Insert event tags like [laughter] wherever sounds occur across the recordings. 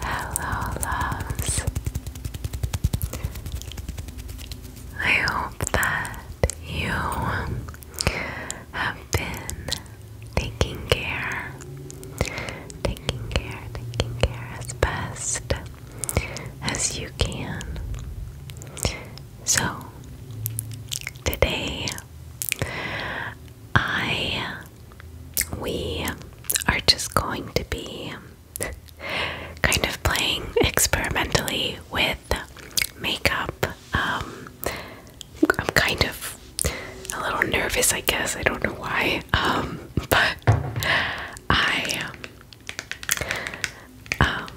Hello, loves. I hope that you have been taking care, taking care, taking care as best as you can. So, today I, we are just going to be kind of playing experimentally with makeup. Um, I'm kind of a little nervous, I guess. I don't know why. Um, but I um,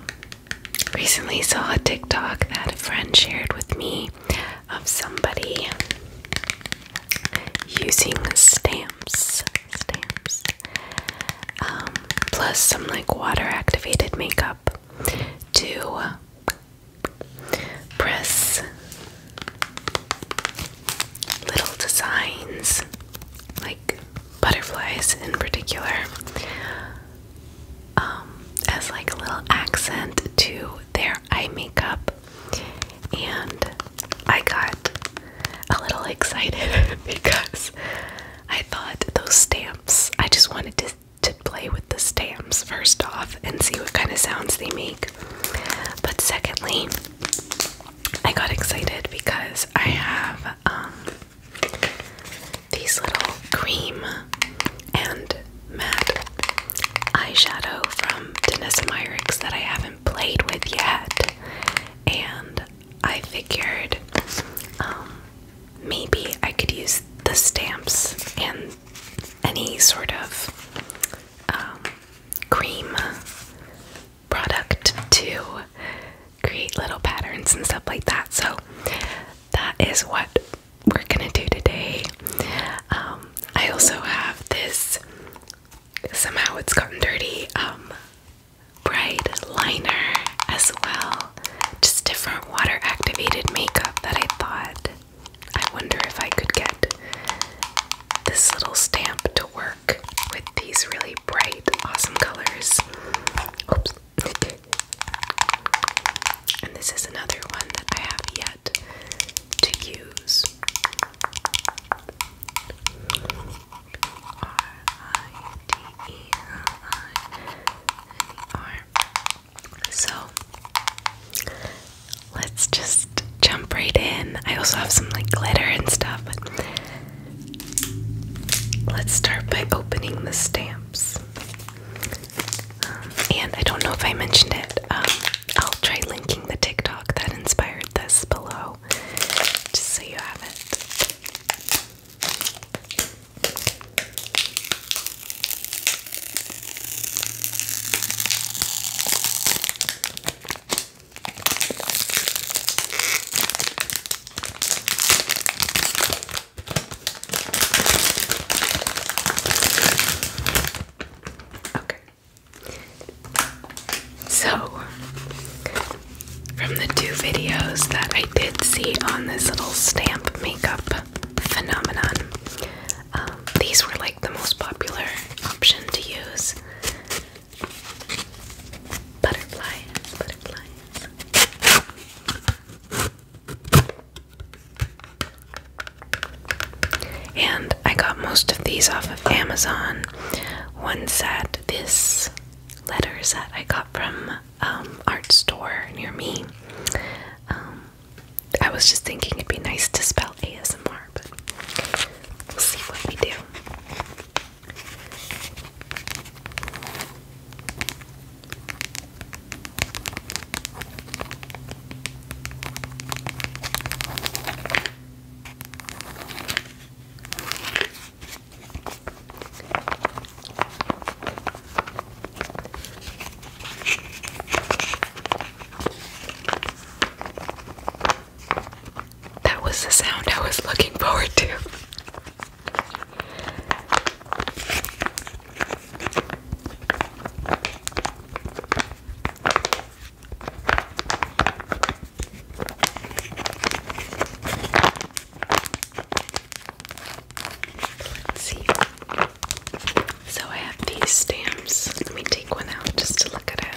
recently saw a TikTok that a friend shared with me of somebody using stamps, stamps, um, plus some like water activated makeup to press little designs, like butterflies in particular, um, as like a little accent to their I make up, and I got a little excited [laughs] because I thought those stamps, I just wanted to, to play with the stamps first off and see what kind of sounds they make. But secondly, I got excited because I have um, these little cream and matte eyeshadow from Denise Myricks that I haven't played with yet. And I figured um, maybe I could use the stamps and any sort of um, cream product to create little patterns and stuff like that. So that is what we're gonna do today. Um, I also have this, somehow it's gotten dirty, um, bright liner as well. Just different water activated makeup that I thought I wonder if I could get this little stamp to work with these really bright, awesome colors. Oops. And this is another one that I have yet to use. R I D E L I N E R. So let's just jump right in. I also have some like glitter and stuff, let's start by opening the stamps. Um, and I don't know if I mentioned it. Um, I'll try linking the TikTok that inspired this below, just so you have it. Okay. So, from the two videos that I did see on this little stamp makeup phenomenon, um, these were like the most popular option to use. Butterflies, butterflies. And I got most of these off of Amazon. One set, this letters set, I got from um, art store near me. Um, I was just thinking it'd be nice to spell ASMR, but we'll see what we do. That was the sound I was looking forward to let So I have these stamps. Let me take one out just to look at it.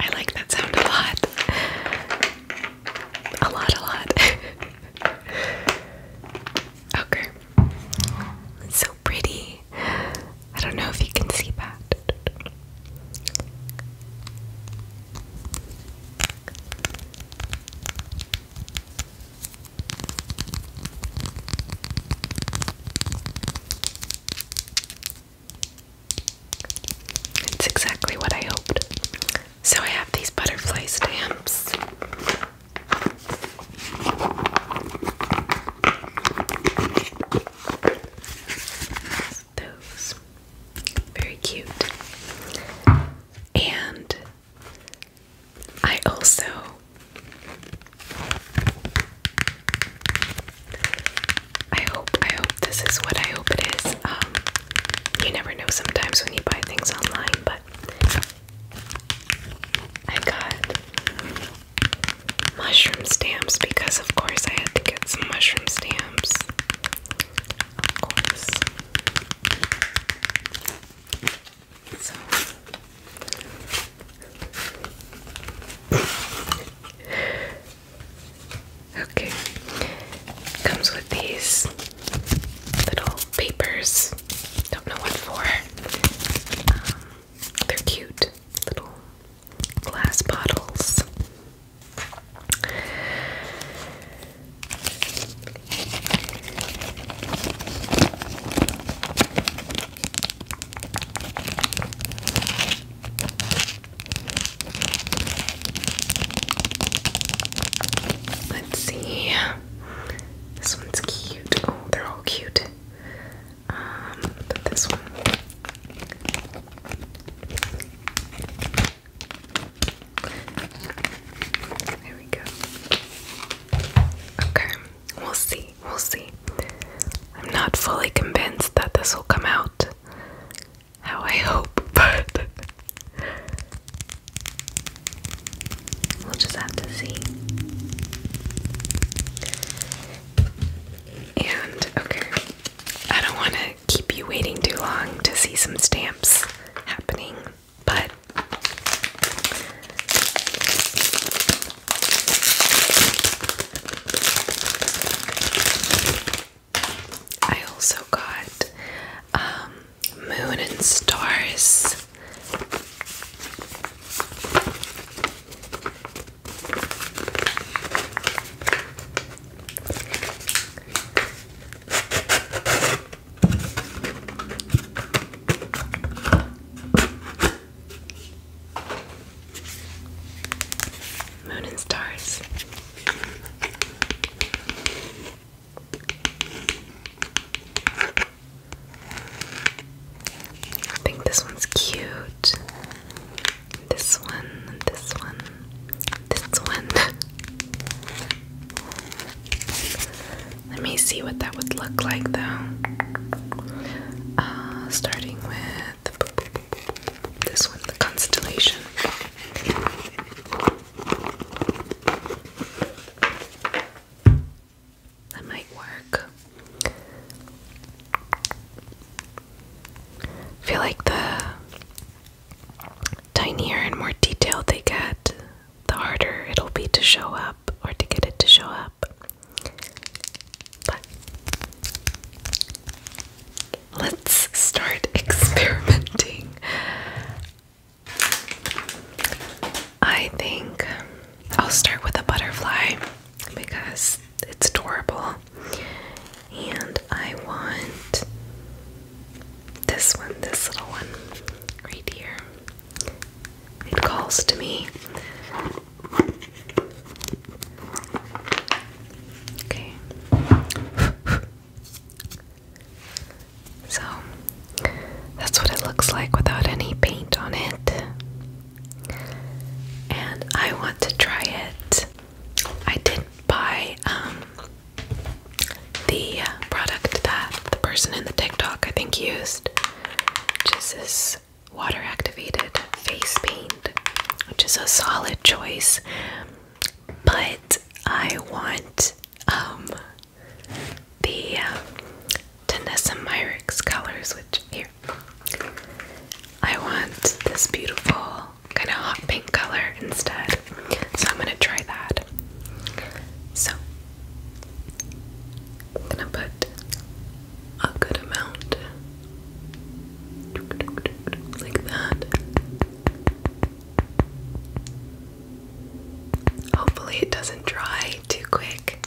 I like that sound a lot. A lot, a lot. [laughs] okay. It's so pretty. I don't know if you can see that. It's exactly what I hoped. So I have these butterfly stamps. Those. Very cute. And I also I hope I hope this is what I hope it is. Um, you never know sometimes when you buy things online, but I got mushroom stamps because of course I had to get some mushroom stamps. Of course. So Okay. Comes with these little papers. Don't know what for. Um, they're cute little glass bottles. Let's see. This one's cute. Oh, they're all cute. Um, this one. There we go. Okay, we'll see. We'll see. I'm not fully convinced that this will come out how I hope, [laughs] but we'll just have to see. And okay, I don't want to keep you waiting too long to see some stamps happening but I also got um, Moon and Stars. Moon and stars. I think this one's cute. This one, this one, this one. [laughs] Let me see what that would look like though. Uh, starting with this one, the constellation. That might work. feel like the tinier and more detailed they get, the harder it'll be to show up or to get it to show up. But let's start [laughs] experimenting. I think I'll start with a butterfly because it's adorable. And I want this one, this little one right here. It calls to me. Okay. so, that's what it looks like without any paint on it. And I want to try it. I did buy um, the product that the person in the TikTok I think used, which is this water activated face paint, which is a solid choice. But I want um, the um, uh, Tanessa Myricks colors, which here I want this beautiful kind of hot pink color instead. So I'm gonna try that. So I'm gonna put a good amount like that. Hopefully, it doesn't dry too quick.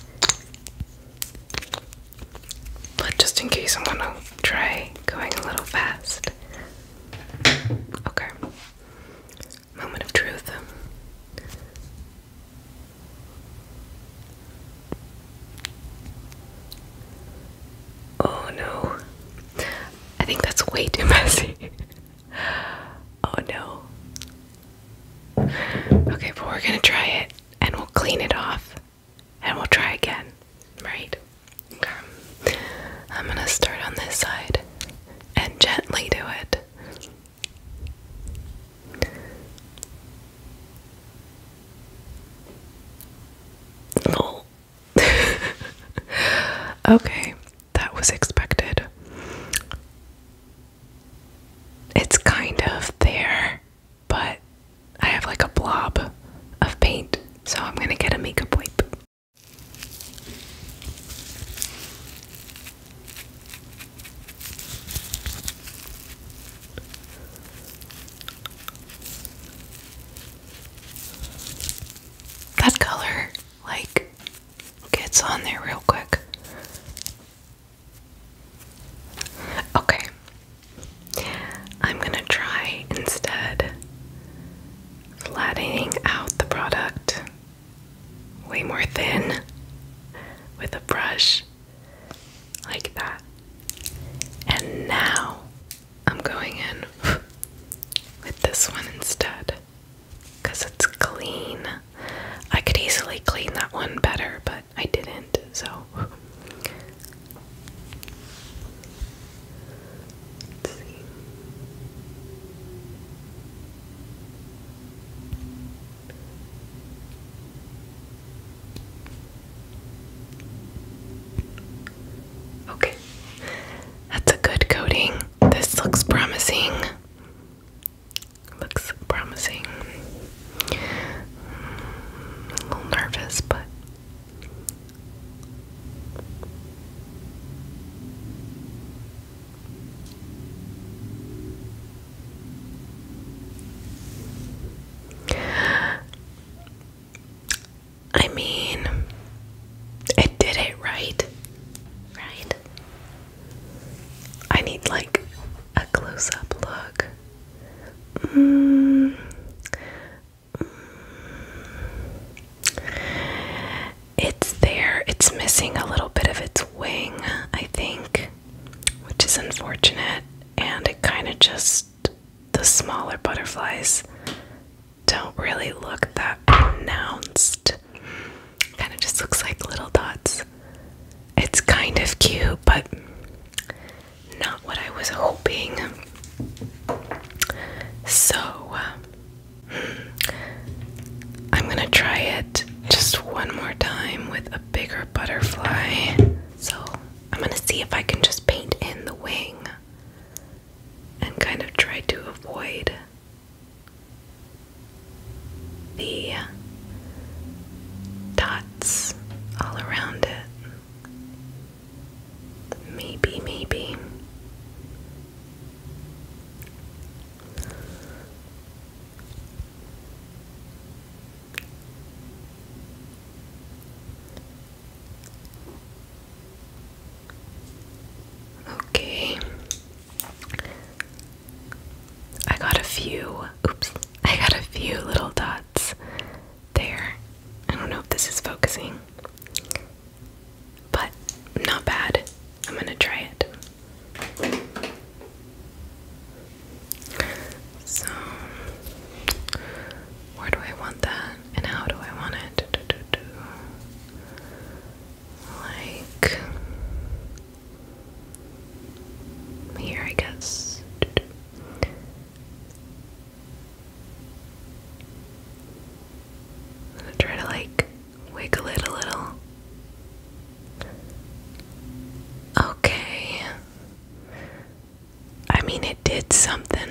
But just in case, I'm gonna try going a little fast. Okay. Moment of truth. Oh no. I think that's way too messy. [laughs] oh no. Okay, but we're gonna try it and we'll clean it off and we'll try again, right? Okay. I'm gonna start on this side and gently do it. Lol. [laughs] okay, that was expected. It's kind of there, but I have like a blob of paint, so I'm gonna get a makeup wipe. That color, like, gets on there real quick. Okay. I'm gonna try instead flattening out the product way more thin with a brush like that. And now I'm going in with this one instead because it's clean. I could easily clean that one better, but I didn't, so. Okay, that's a good coating. This looks promising. Looks promising. A little nervous, but. I mean, it did it right, right? I need like a close up look. Mm. mm. It's there. It's missing a little bit of its wing, I think, which is unfortunate. And it kind of just, the smaller butterflies don't really look that pronounced. Kind of just looks like little dots. It's kind of cute, but not what I was hoping. So, uh, I'm gonna try it just one more time with a bigger butterfly. So I'm gonna see if I can just paint in the wing and kind of try to avoid the dots all around it. Maybe, maybe. Okay. I got a few, oops, I got a few little dots there. I don't know if this is focusing. But not bad. I'm going to try it. So, where do I want that and how do I want it? Like here, I guess. try to like Wiggle it a little. Okay. I mean, it did something.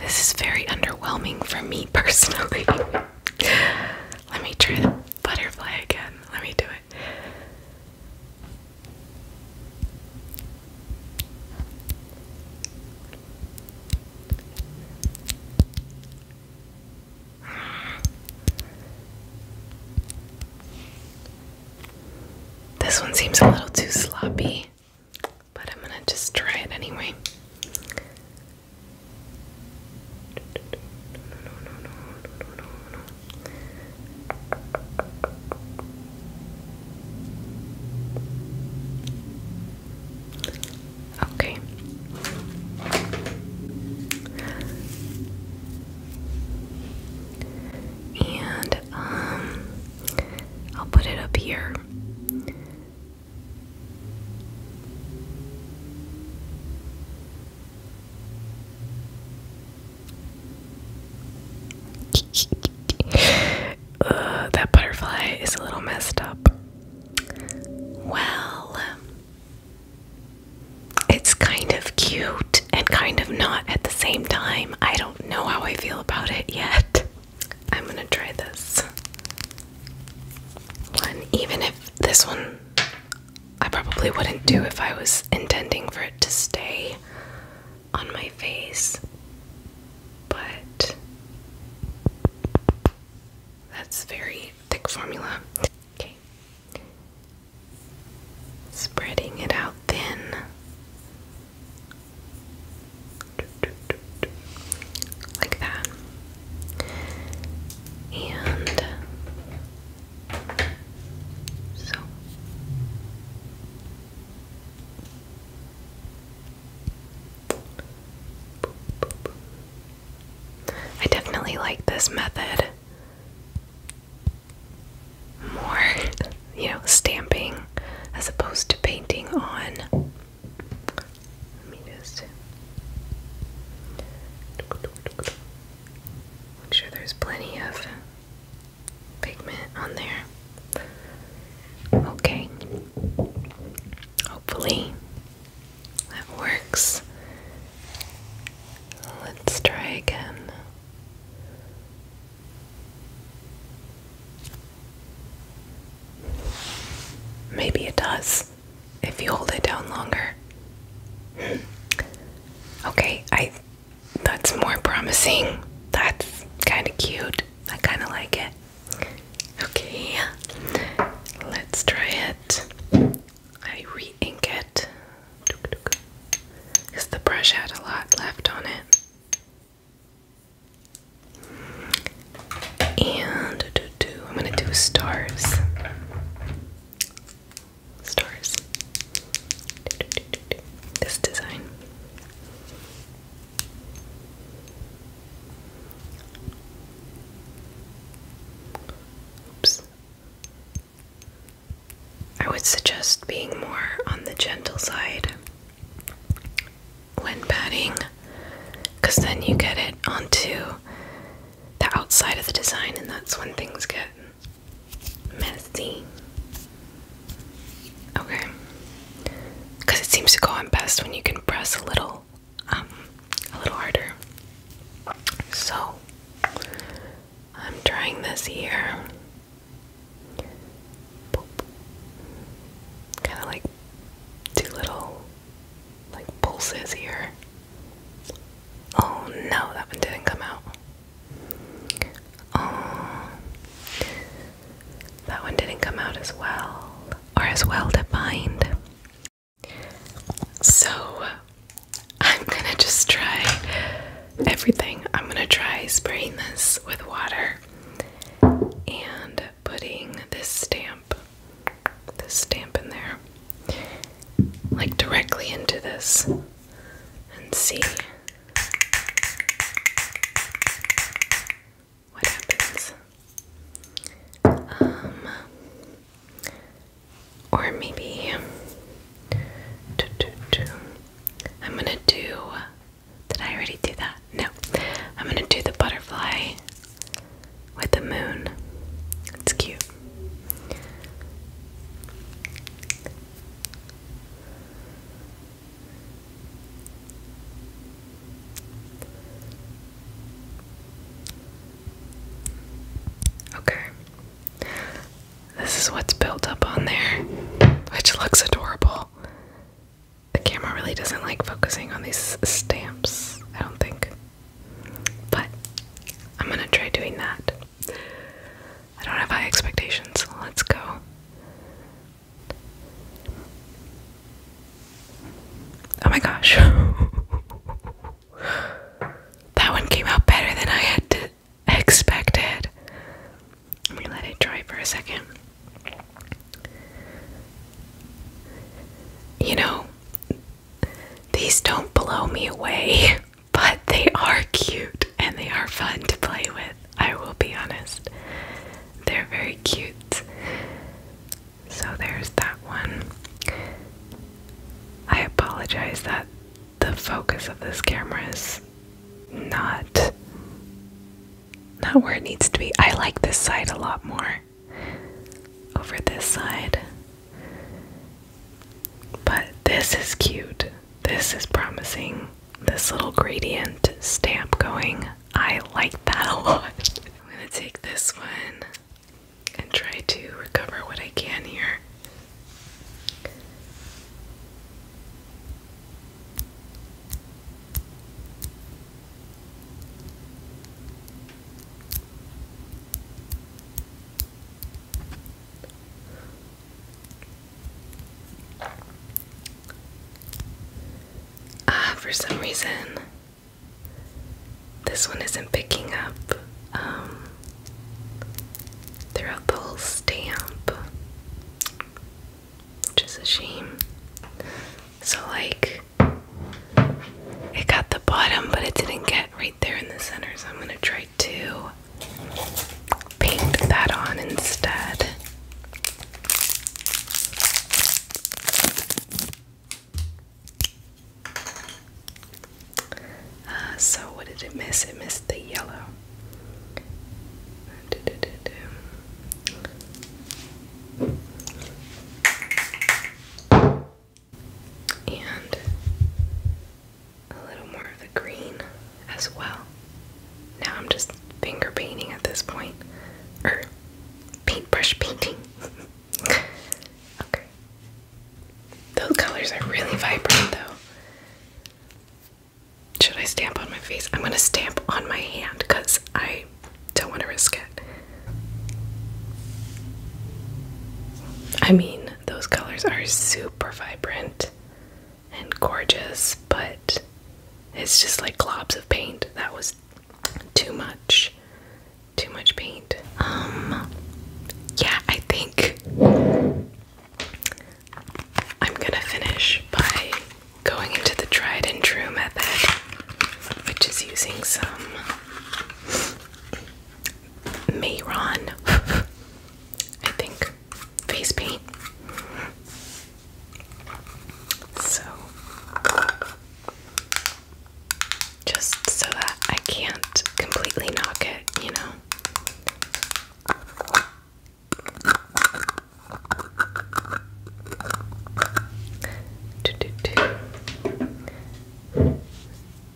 This is very underwhelming for me personally. [laughs] Let me try the butterfly again. Let me do it. This one seems a little too sloppy, but I'm gonna just try it anyway. Okay. And um, I'll put it up here. [laughs] that butterfly is a little messed up. Well, it's kind of cute and kind of not at the same time. I don't know how I feel about it yet. I'm gonna try this one, even if this one I probably wouldn't do if I was intending for it to stay on my face, but that's very thick formula. Okay. Spreading it out thin. Like that. And so I definitely like this method more, you know, stamping as opposed to painting on. Let me just make sure there's plenty of pigment on there. Okay. Hopefully that works. Let's try again. Maybe it does if you hold it down longer. Hmm. okay, I that's more promising. That's kind of cute. I kind of like it. Okay, let's try it. I re ink it because the brush had a lot left on it. And do, do, I'm going to do stars. Stars this design. Oops. I would suggest being more on the gentle side when patting, because then you get it onto the outside of the design, and that's when things get messy. Okay. Because it seems to go on best when you can press a little, um, a little harder. So, I'm trying this here. Kind of like two little, like pulses here. Oh no, that one didn't come out. Oh, that one didn't come out as well, or as well defined. So, I'm gonna just try everything. I'm gonna try spraying this with water and putting this stamp, this stamp in there, like directly into this, and see what happens? Um, or maybe I'm gonna do. Did I already do that? No. I'm gonna do the butterfly with the moon. It's cute. Okay. This is what's built up on there, which looks adorable. The camera really doesn't like focusing on these stamps, I don't think. But I'm gonna try doing that. I don't have high expectations. Let's go. Oh my gosh. [laughs] that one came out better than I had expected. Let me let it dry for a second. You know, these don't blow me away. [laughs] But they are cute and they are fun to play with, I will be honest. They're very cute. So there's that one. I apologize that the focus of this camera is not not where it needs to be. I like this side a lot more over this side. But this is cute. This is promising. This little gradient stamp going. I like that a lot. I'm going to take this one and try to recover what I can here. Ah, for some reason, this one isn't picking up um, throughout the whole stamp, which a shame. So, like, it got the bottom, but it didn't get right there in the center, so I'm gonna try two paint that on instead. Ah, so, what did it miss? It missed the yellow. And a little more of the green as well. Now I'm just finger painting at this point, or paintbrush painting. [laughs] okay. Those colors are really vibrant though. Should I stamp on my face? I'm gonna stamp on my hand because I don't want to risk it. I mean, those colors are super vibrant and gorgeous, but it's just like globs of paint. That was too much. Too much paint. Um yeah, I think I'm gonna finish by going into the tried and true method, which is using some Mayron. [laughs] I think face paint. So, just so that I can't completely knock it, you know.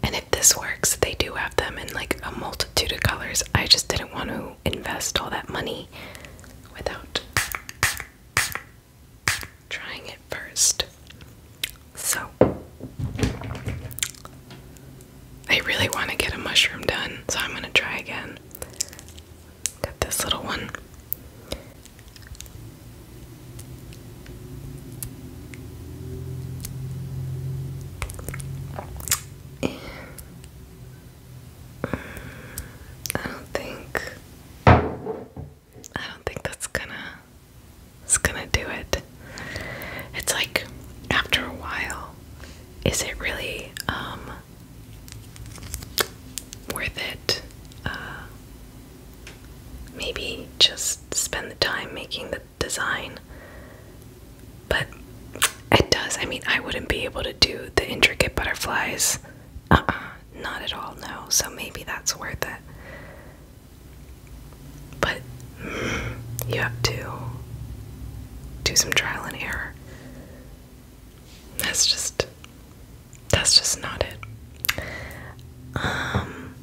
And if this works, they do have them in like a multitude of colors. I just didn't want to invest all that money without trying it first. So, I really want to get a mushroom done, so I'm going to try again. Got this little one. I don't think I don't think that's gonna it's gonna do it. It's like after a while, is it really um, worth it? Uh, maybe just spend the time making the design. But it does. I mean, I wouldn't be able to do the intricate butterflies. Uh not at all, no. So maybe that's worth it. But mm, you have to do some trial and error. That's just. That's just not it. Um,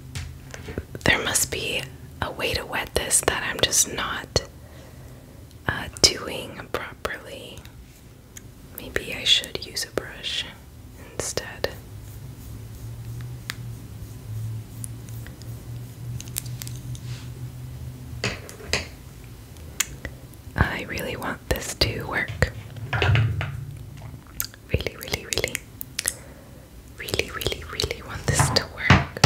there must be a way to wet this that I'm just not uh, doing properly. Maybe I should use a brush instead. I really want this to work. Really, really, really. Really, really, really want this to work.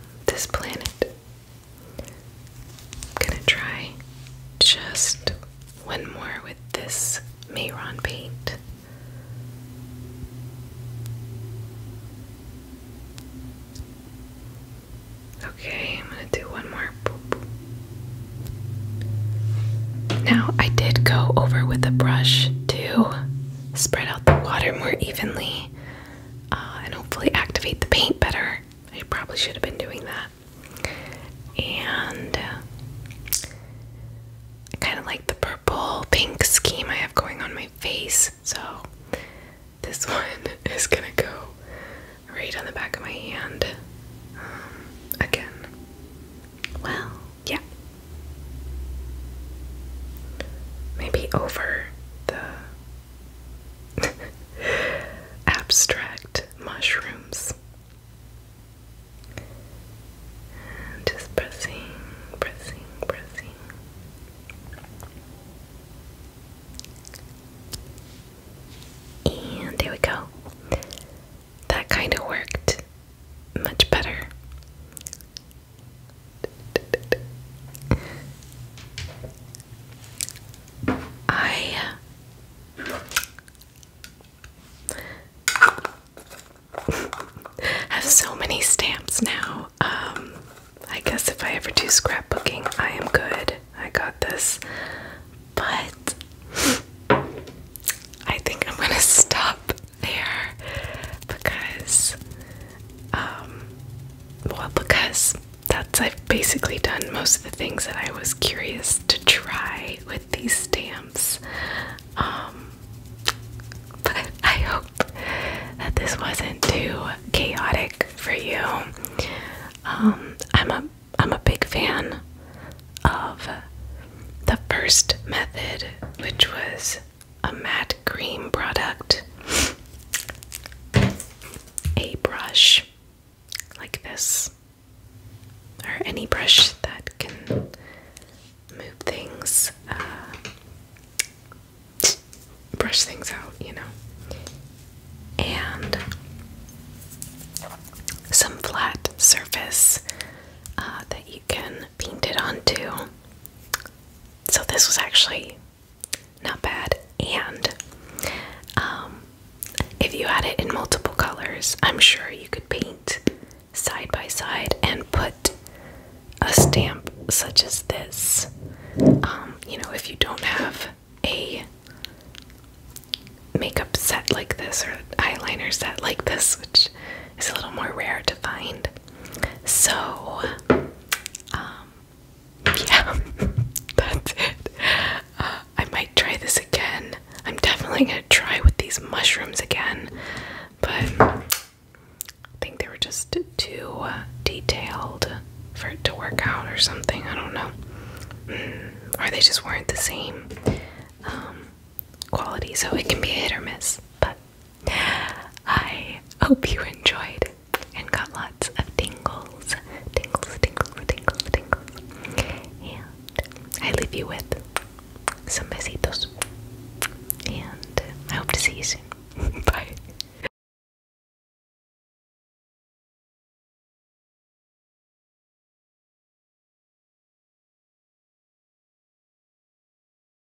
this planet. I'm gonna try just one more with this Mayron paint. Okay, I'm gonna do one more. Now, I did go over with a brush to spread out the water more evenly uh, and hopefully activate the paint better. I probably should have been doing that. And uh, I kind of like the purple pink scheme I have going on my face, so this [laughs] one is gonna go right on the back of my hand um, again. Well, yeah. Maybe over the [laughs] abstract mushrooms. just pressing, pressing, pressing. And there we go. That kind of worked much better. I uh, have so many stamps now. Um, I guess if I ever do scrapbooking, I am good. I got this. But I think I'm gonna stop there because, um, well, because that's I've basically done most of the things that I was curious to try with these stamps. Um, but I hope that this wasn't too chaotic for you. Um, I'm a I'm a big fan of the first method, which was a matte cream product, a brush like this, or any brush that can move things, uh, brush things out, you know, and some flat surface uh, that you can Painted on too, So this was actually not bad. And um, if you had it in multiple colors, I'm sure you could paint side by side and put a stamp such as this. Um, you know, if you don't have a makeup set like this or eyeliner set like this, which is a little more rare to find, so, um, yeah, [laughs] that's it. Uh, I might try this again. I'm definitely gonna try with these mushrooms again, but I think they were just too uh, detailed for it to work out or something. I don't know. Mm, or they just weren't the same um, quality, so it can be hit or miss. But I hope you enjoyed and got lots of tingles. Tingles, tingles, tingles, tingles. And I leave you with some besitos. And I hope to see you soon. [laughs] Bye.